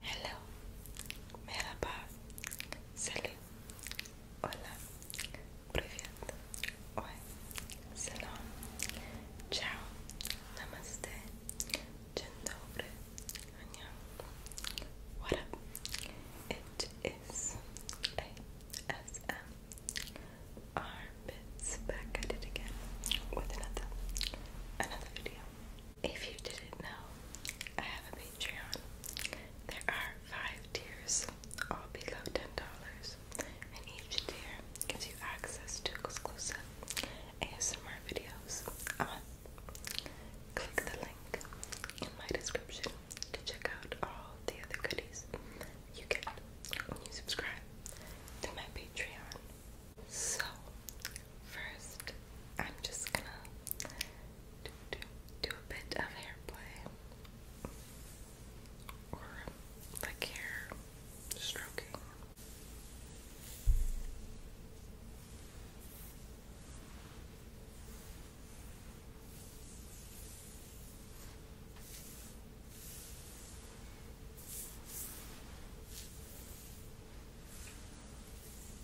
Hello, merhaba, salut, hola, привет, ой, salam, ciao, namaste, dzień dobry, what up? It is ASMR bits back again with another another video. If you didn't know, I have a Patreon. There are five tiers, all below ten dollars, and each tier gives you access to exclusive ASMR videos a month. Click the link in my description to check out all the other goodies you get when you subscribe to my Patreon. So, first, I'm just gonna do, a bit of hair play or like hair stroking.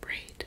Braid.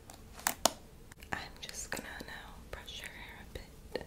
I'm just gonna now brush your hair a bit.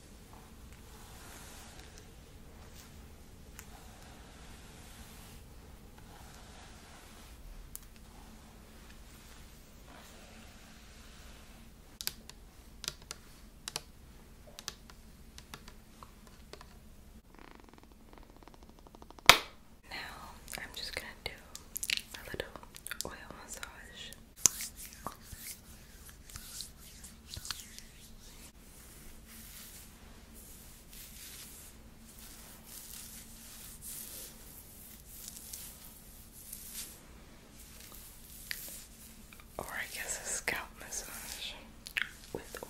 Now, I'm just going to do a little oil massage. Or I guess a scalp massage with oil.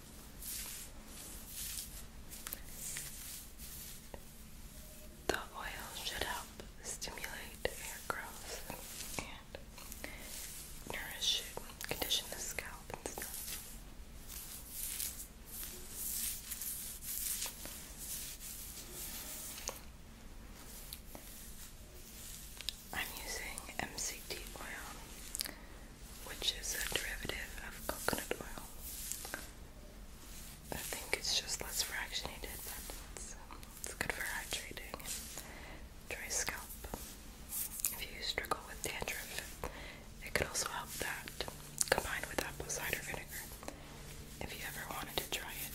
The oil should help stimulate hair growth and nourish it, condition the scalp and stuff. I'm using MCT oil which is a derivative of coconut oil. I think it's just less fractionated, but um, it's, good for hydrating and dry scalp. If you struggle with dandruff, it could also help that, combined with apple cider vinegar, if you ever wanted to try it.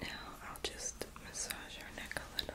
Now I'll just massage her neck a little.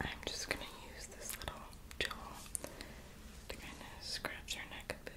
I'm just gonna use this little tool to kind of scratch your neck a bit.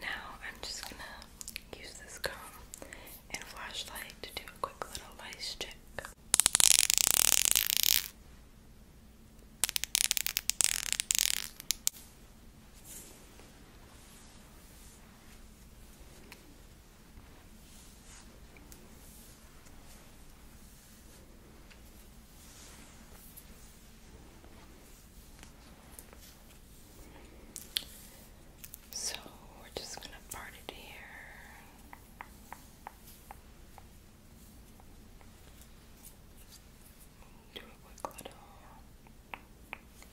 Now I'm just gonna use this comb and flashlight to do a quick little lice check. So we're just going to part it here do a quick little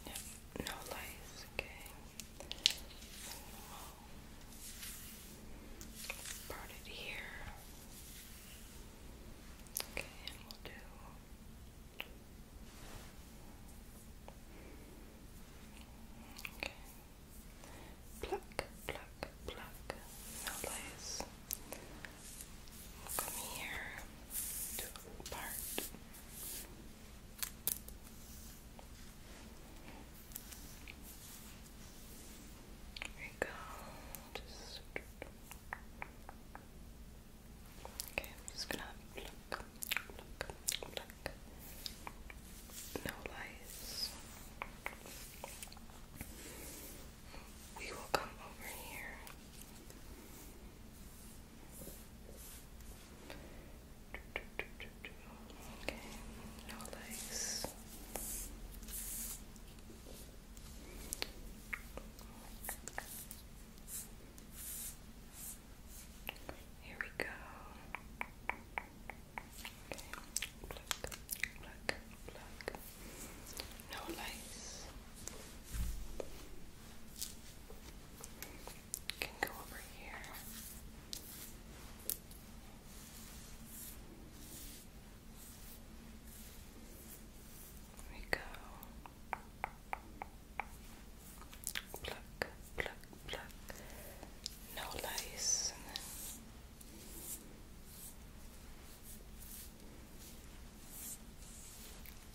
yep, no lights, okay. we it here. Okay, and we'll do Okay. Pluck, pluck, pluck, no lights from here part. There you go. Just Okay, I'm just gonna pluck, pluck, pluck. No lies we will come over here. Okay, no legs. Here we go. Okay, pluck, pluck, pluck no lights. Can go over here. we go. Pluck, pluck, pluck. No lice,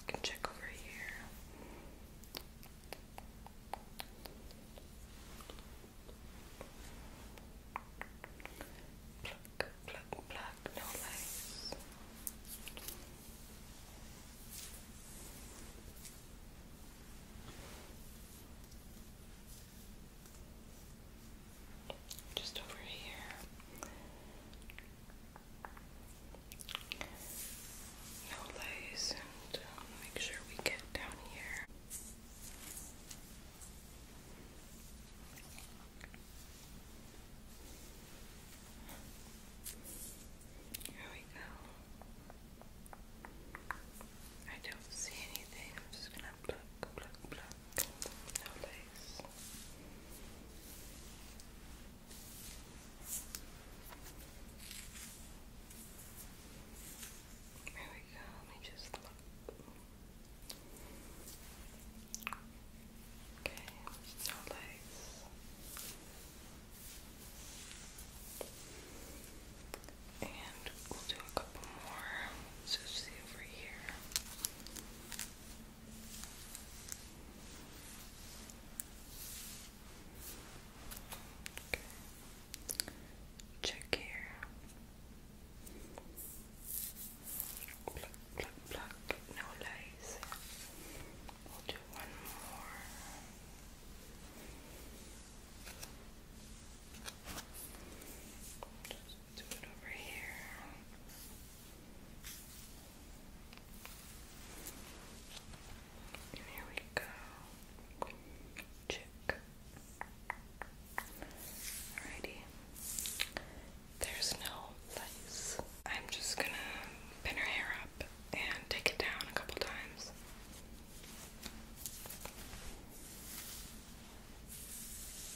I can check over here. Pluck, pluck, pluck, no lights. Just over here no lace, and uh, make sure we get down here. Here we go. I don't see anything. I'm just gonna pluck, pluck, pluck. No lace. There we go, let me just look. Okay, no legs. And we'll do a couple more. So see over here. Okay. Check here. Pluck, pluck, pluck. No lies. do one more do it over here. here we go. Alrighty. There's no lace. I'm just gonna pin her hair up and take it down a couple times.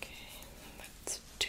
Okay, let's do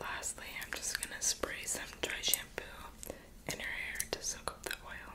Lastly, I'm just going to spray some dry shampoo in her hair to soak up the oil.